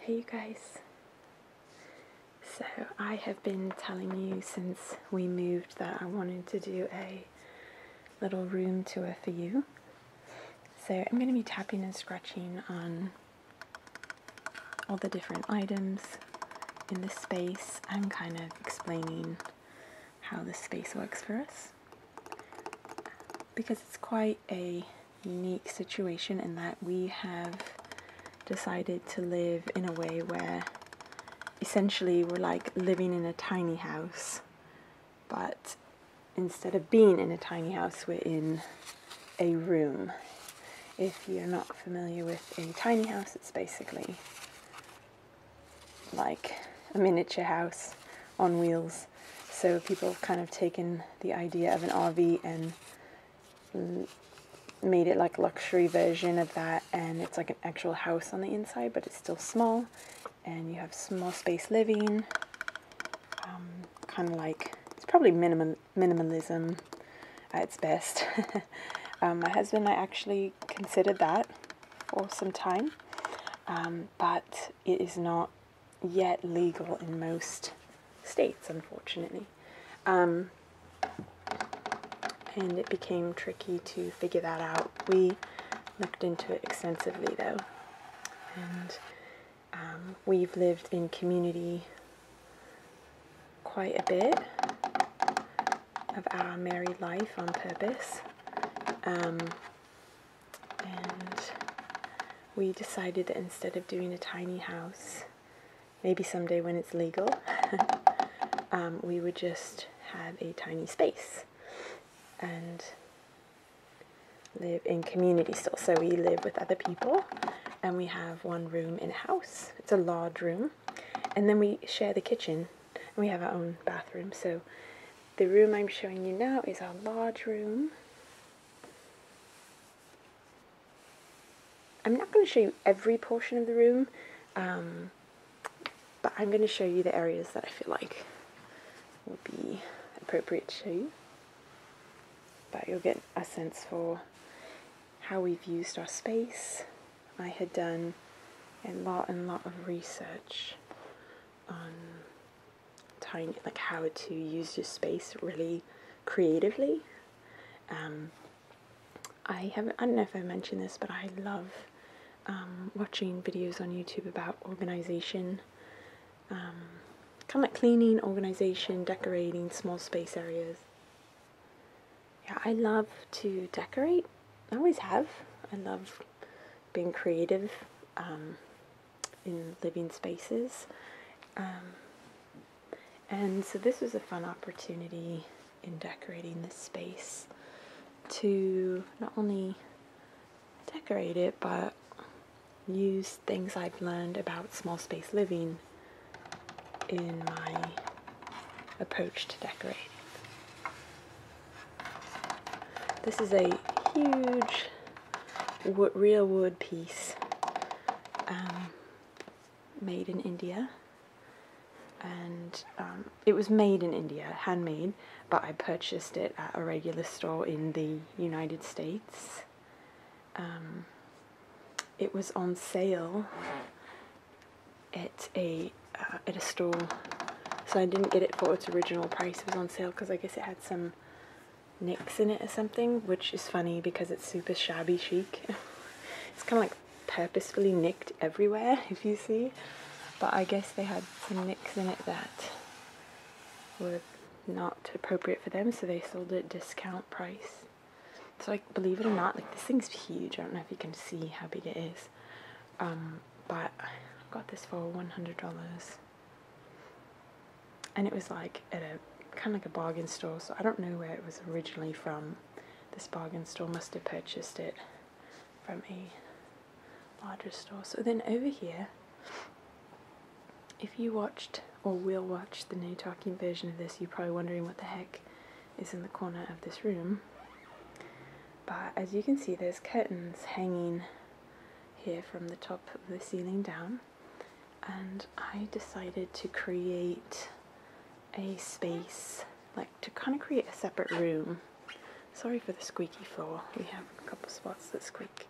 Hey you guys. So I have been telling you since we moved that I wanted to do a little room tour for you. So I'm going to be tapping and scratching on all the different items in this space and kind of explaining how this space works for us because it's quite a unique situation in that we have decided to live in a way where essentially we're like living in a tiny house but instead of being in a tiny house we're in a room. If you're not familiar with a tiny house, it's basically like a miniature house on wheels. So people kind of taken the idea of an RV and made it like luxury version of that and it's like an actual house on the inside but it's still small and you have small space living um, kind of like it's probably minimum minimalism at its best. Um, my husband and I actually considered that for some time, um, but it is not yet legal in most states, unfortunately. Um, and it became tricky to figure that out. We looked into it extensively though, and we've lived in community quite a bit of our married life on purpose. Um, and we decided that instead of doing a tiny house, maybe someday when it's legal, um, we would just have a tiny space and live in community still. So we live with other people and we have one room in a house. It's a large room, and then we share the kitchen and we have our own bathroom. So the room I'm showing you now is our large room. I'm not going to show you every portion of the room, um, but I'm going to show you the areas that I feel like will be appropriate to show you. But you'll get a sense for how we've used our space. I had done a lot and lot of research on like how to use your space really creatively. Um, I have I don't know if I mentioned this, but I love um, watching videos on YouTube about organization, um, kind of like cleaning, organization, decorating small space areas yeah, I love to decorate. I always have. I love being creative um, in living spaces. Um, and so this was a fun opportunity in decorating this space to not only decorate it, but use things I've learned about small space living in my approach to decorating. This is a huge real wood piece um, made in India and um, it was made in India, handmade, but I purchased it at a regular store in the United States um, it was on sale at a uh, at a store, so I didn't get it for its original price. It was on sale because I guess it had some nicks in it or something, which is funny because it's super shabby chic. it's kind of like purposefully nicked everywhere, if you see. But I guess they had some nicks in it that were not appropriate for them, so they sold it discount price. So like believe it or not, like this thing's huge. I don't know if you can see how big it is. Um, but I got this for $100 and it was like at a kind of like a bargain store so I don't know where it was originally from this bargain store must have purchased it from a larger store so then over here if you watched or will watch the new talking version of this, you're probably wondering what the heck is in the corner of this room. But as you can see, there's curtains hanging here from the top of the ceiling down. And I decided to create a space, like to kind of create a separate room. Sorry for the squeaky floor, we have a couple spots that squeak.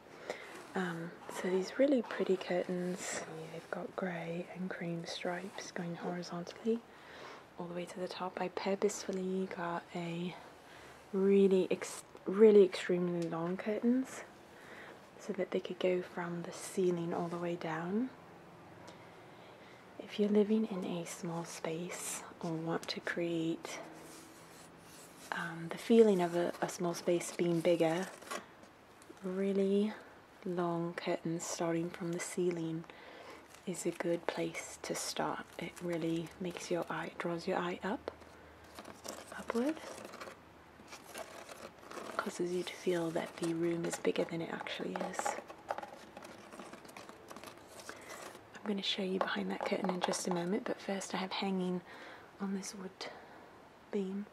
Um, so these really pretty curtains, I've got grey and cream stripes going horizontally all the way to the top. I purposefully got a really, really extremely long curtains so that they could go from the ceiling all the way down. If you're living in a small space or want to create um, the feeling of a small space being bigger, really long curtains starting from the ceiling is a good place to start. It really makes your eye, draws your eye up, upward, causes you to feel that the room is bigger than it actually is. I'm going to show you behind that curtain in just a moment, but first I have hanging on this wood beam.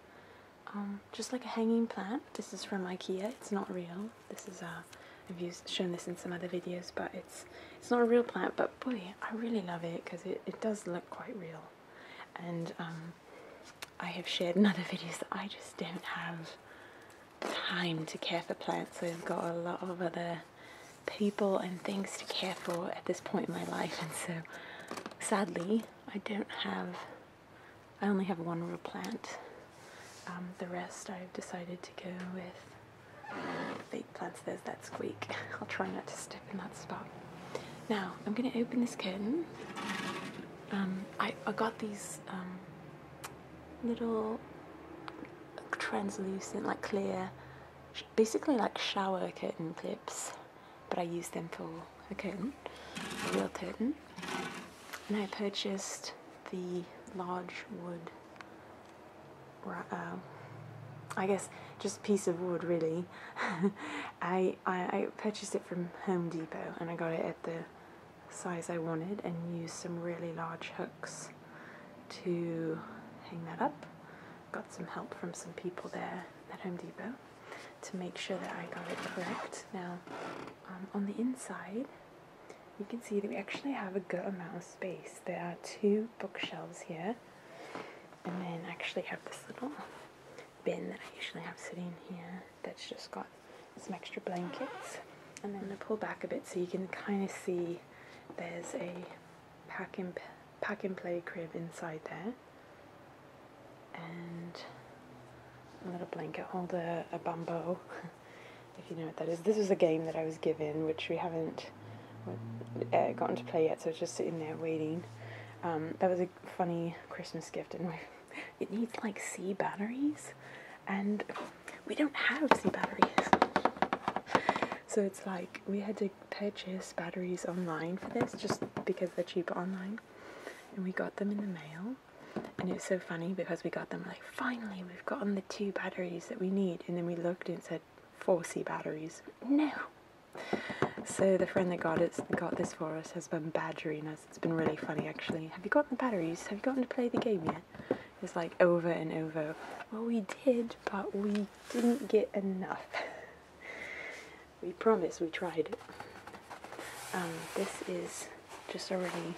Um, just like a hanging plant. This is from IKEA. It's not real. This is uh, I've used, shown this in some other videos, but it's it's not a real plant. But boy, I really love it because it, it does look quite real. And um, I have shared in other videos that I just don't have time to care for plants. So I've got a lot of other people and things to care for at this point in my life, and so sadly, I don't have I only have one real plant. Um, the rest I've decided to go with fake uh, plants. There's that squeak. I'll try not to step in that spot. Now, I'm going to open this curtain. Um, I, got these um, little translucent, like clear, basically like shower curtain clips but I used them for a curtain, a real curtain. And I purchased the large wood, uh, I guess just piece of wood really. I, I purchased it from Home Depot and I got it at the size I wanted and used some really large hooks to hang that up. Got some help from some people there at Home Depot to make sure that I got it correct. Now, um, on the inside, you can see that we actually have a good amount of space. There are two bookshelves here, and then I actually have this little bin that I usually have sitting here that's just got some extra blankets. And then I pull back a bit so you can kind of see there's a pack and pack and play crib inside there and little blanket holder, a bumbo, if you know what that is. This was a game that I was given, which we haven't uh, gotten to play yet, so it's just sitting there waiting. Um, that was a funny Christmas gift, and it needs like C batteries, and we don't have C batteries. So it's like we had to purchase batteries online for this just because they're cheaper online and we got them in the mail. And it was so funny because we got them like, finally, we've gotten the two batteries that we need. And then we looked and said 4C batteries. No! So the friend that got it got this for us has been badgering us. It's been really funny actually. Have you gotten the batteries? Have you gotten to play the game yet? It's like over and over. Well, we did, but we didn't get enough. We promise we tried it. Um, this is just a really um,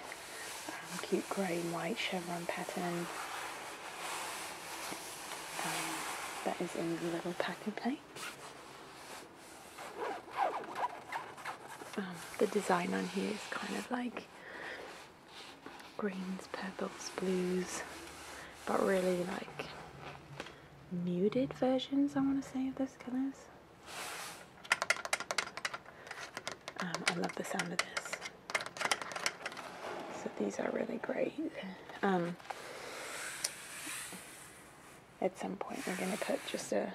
cute grey and white chevron pattern um, that is in the little packing plate. the design on here is kind of like greens, purples, blues, but really like muted versions, I want to say, of this. Um, I love the sound of this. So these are really great. Um, at some point we're going to put just a,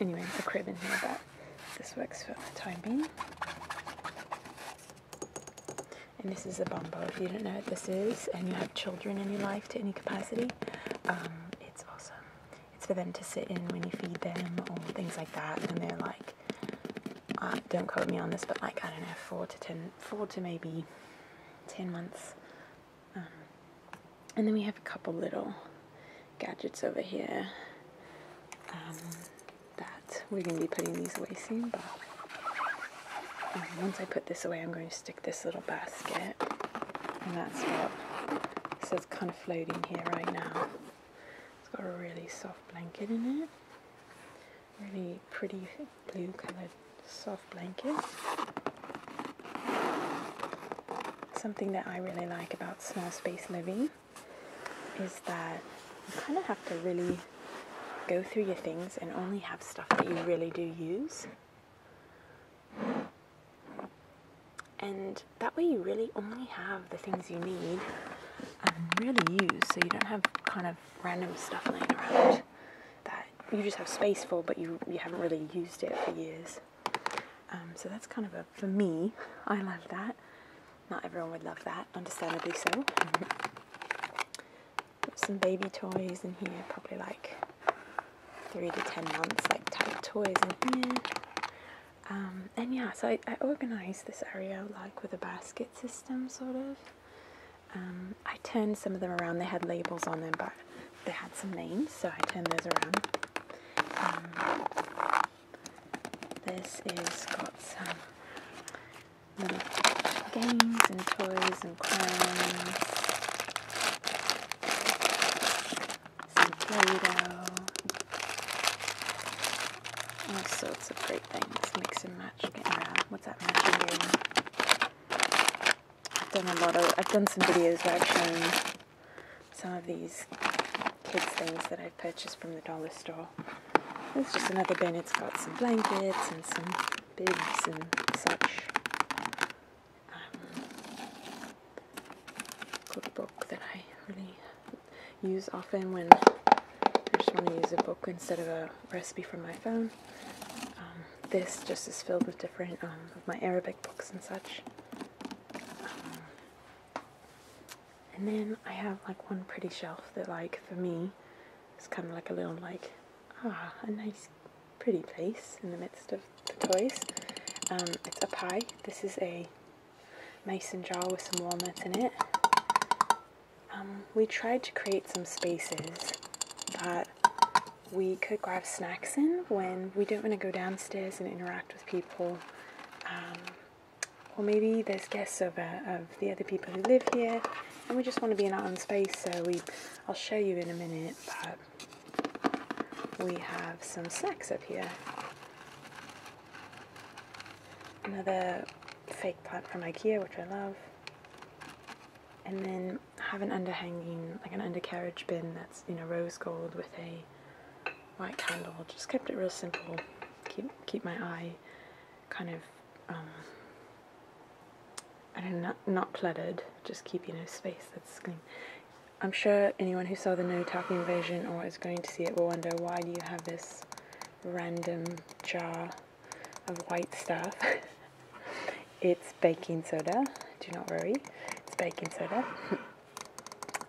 anyway, a crib in here, but this works for the time being. And this is a bumbo. If you don't know what this is and you have children in your life, to any capacity. Um, it's awesome. It's for them to sit in when you feed them or things like that, and they're like, uh, don't quote me on this, but like I don't know, four to ten, four to maybe ten months. Um, and then we have a couple little gadgets over here um, that we're going to be putting these away soon, but once I put this away, I'm going to stick this little basket, and that's what this is kind of floating here right now. It's got a really soft blanket in it, really pretty blue coloured soft blanket. Something that I really like about small space living is that you kind of have to really go through your things and only have stuff that you really do use. And that way, you really only have the things you need and really use, so you don't have kind of random stuff laying around that you just have space for, but you you haven't really used it for years. Um, so that's kind of a for me. I love that. Not everyone would love that, understandably so some baby toys in here, probably like three to ten months, like type toys in here. Um, and yeah, so I, organised this area like with a basket system, sort of. Um, I turned some of them around. They had labels on them, but they had some names, so I turned those around. Um, this is got some little games and toys and crayons some Play-Doh, all sorts of great things, mix and match, What's that matching game? I've done a lot of, I've done some videos where I've shown some of these kids things that I have purchased from the dollar store. There's just another bin, it's got some blankets and some beds and such um, cookbook that I really use often when I just want to use a book instead of a recipe from my phone. Um, this just is filled with different um, of my Arabic books and such. Um, and then I have like one pretty shelf that like for me is kind of like a little like ah a nice pretty place in the midst of the toys. Um, it's up high. This is a mason jar with some walnuts in it. Um, we tried to create some spaces that we could grab snacks in when we don't want to go downstairs and interact with people. Um, or maybe there's guests over uh, of the other people who live here and we just want to be in our own space so we I'll show you in a minute but we have some snacks up here. Another fake plant from Ikea, which I love. And then have an underhanging, like an undercarriage bin that's, in a rose gold with a white candle. Just kept it real simple. Keep, keep my eye kind of um, and not, not cluttered, just keeping a space that's clean. I'm sure anyone who saw the No Talk Invasion or is going to see it will wonder why do you have this random jar of white stuff? it's baking soda, do not worry, it's baking soda.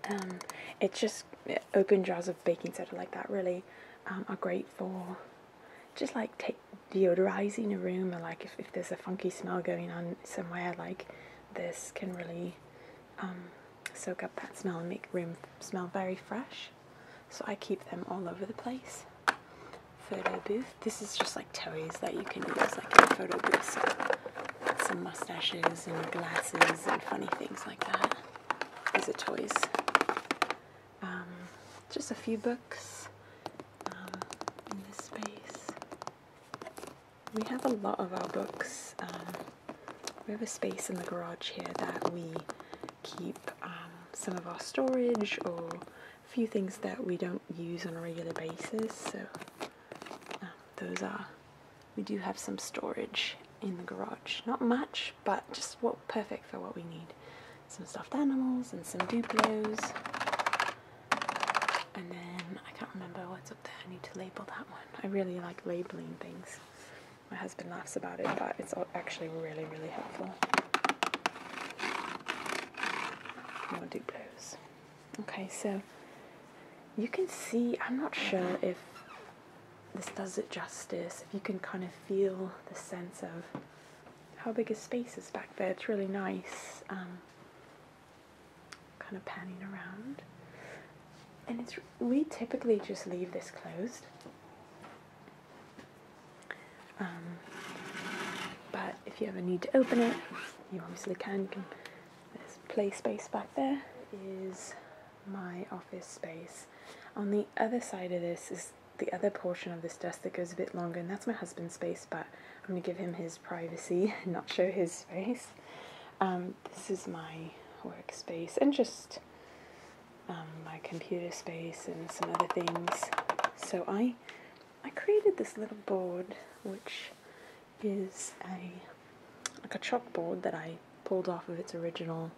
um, it's just uh, open jars of baking soda like that really um, are great for just like deodorizing a room like if, if there's a funky smell going on somewhere like this can really um, soak up that smell and make room smell very fresh so I keep them all over the place photo booth this is just like toys that you can use like in a photo booth some mustaches and glasses and funny things like that these are toys um, just a few books um, in this space. We have a lot of our books. Um, we have a space in the garage here that we keep um, some of our storage or a few things that we don't use on a regular basis. So those are, we do have some storage in the garage. Not much, but just what perfect for what we need some stuffed animals and some Duplos. And then I can't remember what's up there. I need to label that one. I really like labeling things. My husband laughs about it, but it's actually really, really helpful. More Duplos. Okay, so you can see, I'm not sure if this does it justice, if you can kind of feel the sense of how big his space is back there. It's really nice, um, kind of panning around. And it's we typically just leave this closed, um, but if you ever need to open it, you obviously can there's play space back there is my office space. On the other side of this is the other portion of this desk that goes a bit longer, and that's my husband's space but I'm going to give him his privacy and not show his face. Um, this is my workspace and just um, my computer space and some other things. So I, I created this little board, which is a like a chalkboard that I pulled off of its original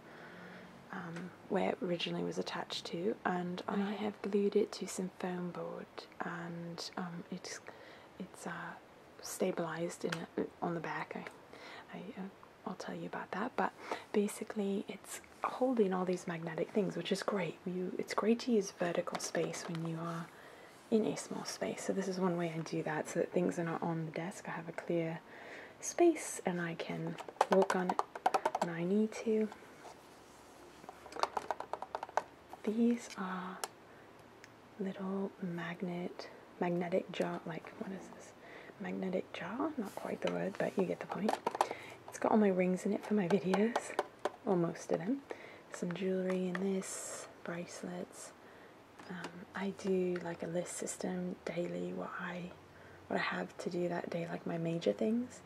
um, where it originally was attached to, and I have glued it to some foam board and um, it's it's uh, stabilized in on the back. I, I uh, I'll tell you about that. But basically, it's holding all these magnetic things, which is great. You it's great to use vertical space when you are in a small space. So this is one way I do that, so that things are not on the desk. I have a clear space and I can walk on it when I need to. These are little magnet, magnetic jar, like what is this? Magnetic jar? Not quite the word, but you get the point. It's got all my rings in it for my videos, or most of them. Some jewelry in this, bracelets. Um, I do like a list system daily, what I what I have to do that day, like my major things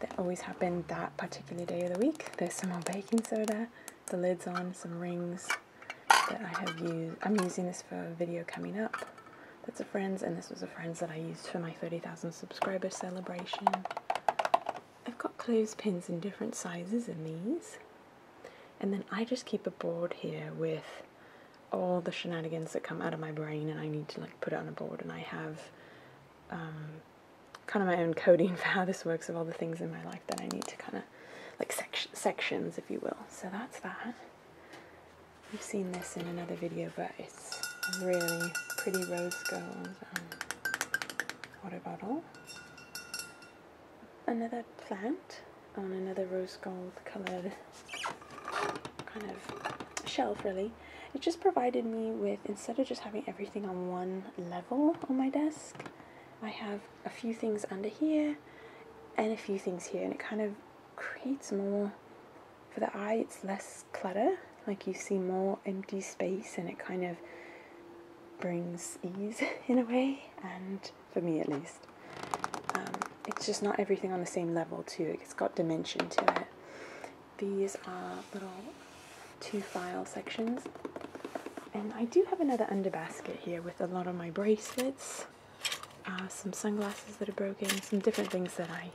that always happen that particular day of the week. There's some on baking soda, the lid's on, some rings that I have used. I'm using this for a video coming up that's a friend's, and this was a friend's that I used for my 30,000 subscriber celebration. I've got clothespins in different sizes in these. And then I just keep a board here with all the shenanigans that come out of my brain and I need to like put it on a board and I have um, kind of my own coding for how this works of all the things in my life that I need to kind of like sections, if you will. So that's that. You've seen this in another video, but it's really pretty rose gold um, water bottle. Another plant on another rose gold colored kind of shelf, really. It just provided me with, instead of just having everything on one level on my desk, I have a few things under here and a few things here, and it kind of creates more for the eye, it's less clutter, like you see more empty space, and it kind of brings ease in a way, and for me at least. Um, it's just not everything on the same level, too, it's got dimension to it these are little two file sections. And I do have another under basket here with a lot of my bracelets, uh, some sunglasses that are broken, some different things that I,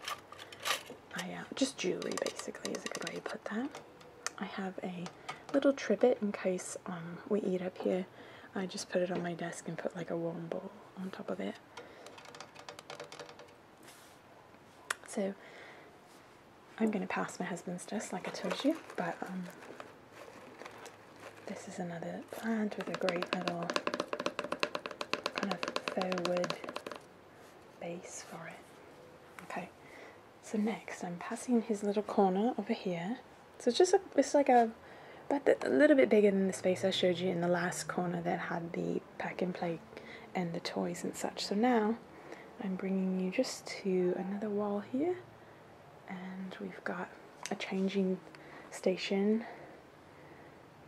I uh, just jewelry basically is a good way to put that. I have a little trivet in case um, we eat up here. I just put it on my desk and put like a warm bowl on top of it. So I'm going to pass my husband's dress like I told you, but um, this is another plant with a great little kind of faux wood base for it. Okay, so next I'm passing his little corner over here. So it's just it's like a, but a little bit bigger than the space I showed you in the last corner that had the pack and play and the toys and such. So now I'm bringing you just to another wall here and we've got a changing station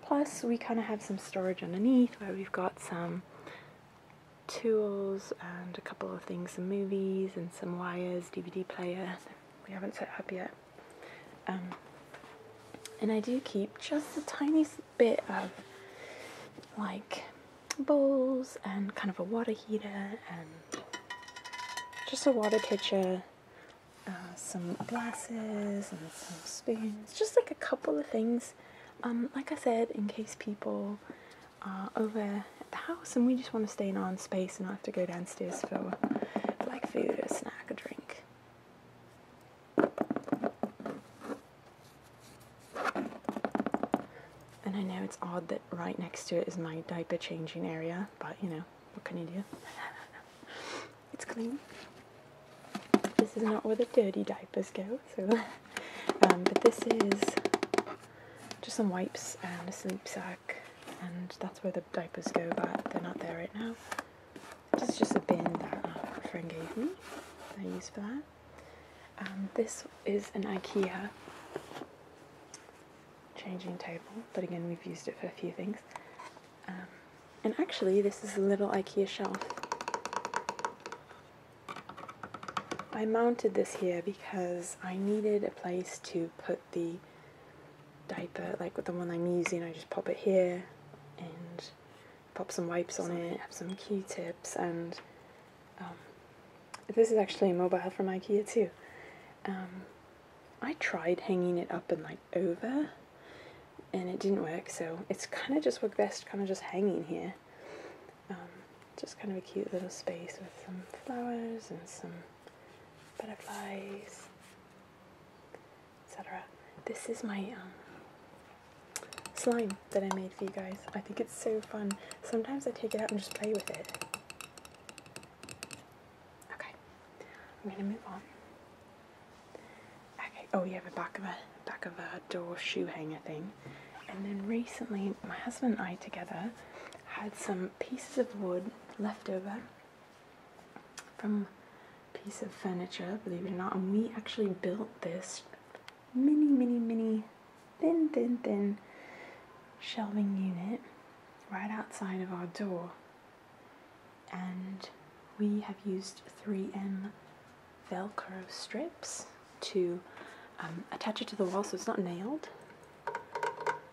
plus we kind of have some storage underneath where we've got some tools and a couple of things, some movies and some wires, DVD player we haven't set up yet. Um, and I do keep just the tiniest bit of like bowls and kind of a water heater and just a water pitcher, uh, some glasses and some spoons, just like a couple of things. Um, like I said, in case people are over at the house and we just want to stay in our own space and not have to go downstairs for, for like food or snack or drink. And I know it's odd that right next to it is my diaper changing area, but you know, what can you do? it's clean. This is not where the dirty diapers go, so. Um, but this is just some wipes and a sleep sack, and that's where the diapers go, but they're not there right now. It's just a bin that uh, a friend gave me. I use for that. Um, this is an IKEA changing table, but again, we've used it for a few things. Um, and actually, this is a little IKEA shelf. I mounted this here because I needed a place to put the diaper, like the one I'm using, I just pop it here and pop some wipes on it, have some Q-tips, and um, this is actually mobile from IKEA too. Um, I tried hanging it up and like over, and it didn't work. So it's kind of just worked best, kind of just hanging here. Um, just kind of a cute little space with some flowers and some butterflies, etc. This is my slime that I made for you guys. I think it's so fun. Sometimes I take it out and just play with it. Okay, I'm gonna move on. Okay, oh, we have a back of a back of a door shoe hanger thing. And then recently, my husband and I together had some pieces of wood left over from a piece of furniture, believe it or not, and we actually built this mini, mini, mini, thin, thin, thin shelving unit right outside of our door. And we have used 3M Velcro strips to um, attach it to the wall so it's not nailed.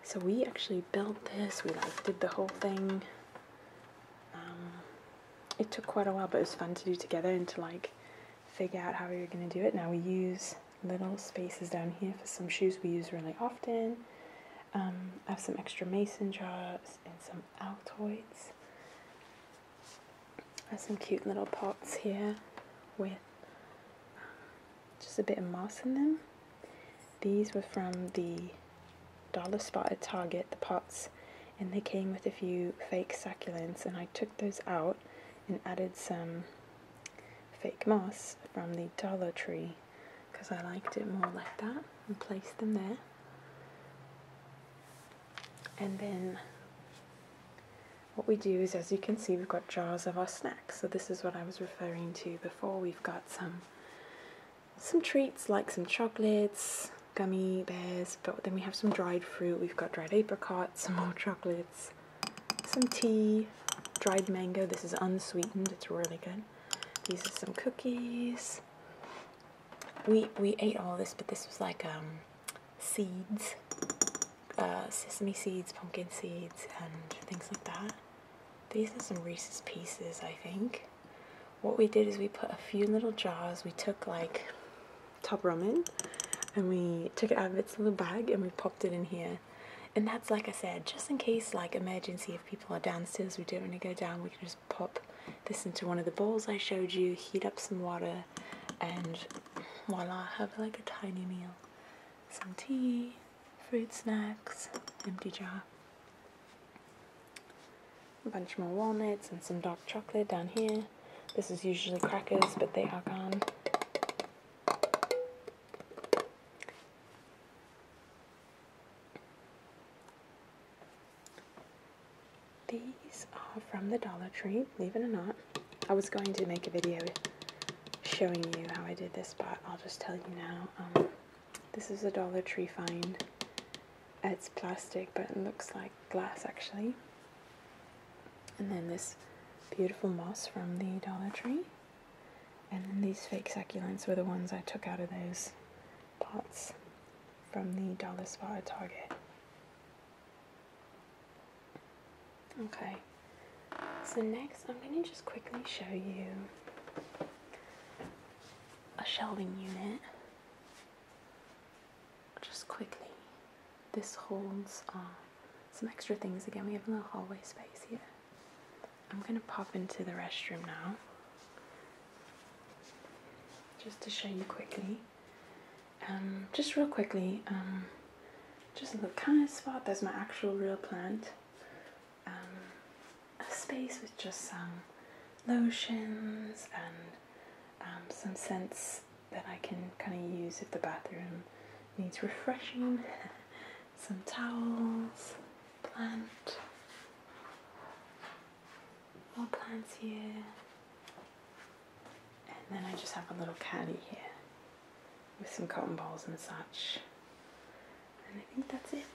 So we actually built this, we like did the whole thing um, it took quite a while, but it was fun to do together and to like figure out how we were going to do it. Now we use little spaces down here for some shoes we use really often. Um, I have some extra mason jars and some Altoids. I have some cute little pots here with um, just a bit of moss in them. These were from the dollar spot at Target, the pots and they came with a few fake succulents and I took those out and added some fake moss from the Dollar Tree because I liked it more like that and placed them there. And then what we do is, as you can see, we've got jars of our snacks. So this is what I was referring to before. We've got some some treats like some chocolates, gummy bears, but then we have some dried fruit. We've got dried apricots, some more chocolates, some tea, dried mango. This is unsweetened. It's really good. These are some cookies. We we ate all this, but this was like um, seeds, uh, sesame seeds, pumpkin seeds, and things like that. These are some Reese's Pieces, I think. What we did is we put a few little jars. We took like Top Ramen and we took it out of its little bag and we popped it in here. And that's like I said, just in case like emergency if people are downstairs, we don't want to go down, we can just pop this into one of the bowls I showed you, heat up some water and voila, have like a tiny meal. Some tea, fruit snacks, empty jar a bunch more walnuts and some dark chocolate down here. This is usually crackers, but they are gone. These are from the Dollar Tree, believe it or not. I was going to make a video showing you how I did this, but I'll just tell you now. Um, this is a Dollar Tree find it's plastic but it looks like glass actually. And then this beautiful moss from the Dollar Tree. And then these fake succulents were the ones I took out of those pots from the dollar spot at Target. Okay, so next I'm going to just quickly show you a shelving unit just quickly, this holds uh, some extra things. Again, we have a little hallway space here. I'm going to pop into the restroom now, just to show you quickly. Um, just real quickly, um, just a little kind of spot. There's my actual real plant. Um, a space with just some lotions and um, some scents that I can kind of use if the bathroom needs refreshing, some towels, plant, more plants here, and then I just have a little caddy here with some cotton balls and such. And I think that's it.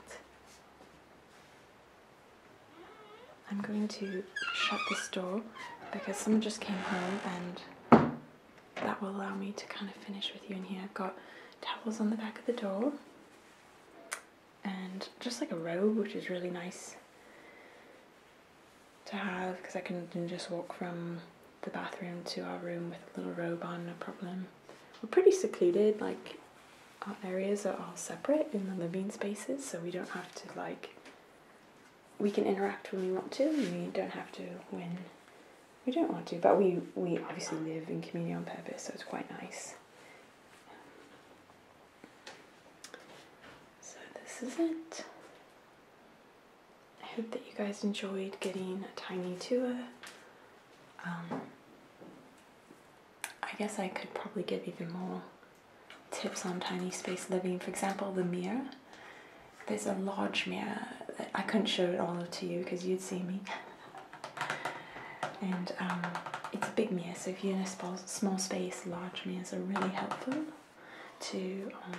I'm going to shut this door because someone just came home and that will allow me to kind of finish with you in here. I've got towels on the back of the door and just like a robe which is really nice to have because I can just walk from the bathroom to our room with a little robe on, no problem. We're pretty secluded, like our areas are all separate in the living spaces so we don't have to like we can interact when we want to, we don't have to when we don't want to. But we, we obviously live in community on purpose, so it's quite nice. So, this is it. I hope that you guys enjoyed getting a tiny tour. Um, I guess I could probably give even more tips on tiny space living. For example, the mirror. There's a large mirror. I couldn't show it all to you because you'd see me. and um, it's a big mirror, so if you're in a small, space, large mirrors are really helpful to um,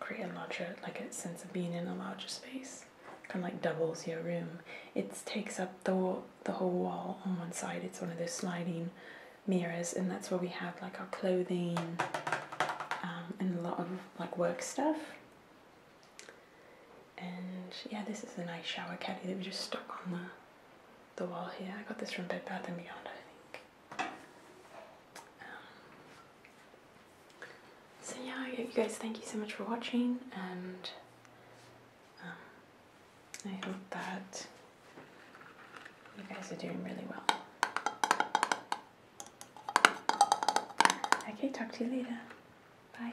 create a larger, like a sense of being in a larger space. Kind of like doubles your room. It takes up the the whole wall on one side. It's one of those sliding mirrors, and that's where we have like our clothing um, and a lot of like work stuff. And yeah, this is a nice shower caddy that we just stuck on the the wall here. I got this from Bed Bath and Beyond, I think. Um, so yeah, you guys, thank you so much for watching, and I hope that you guys are doing really well. Okay, talk to you later. Bye.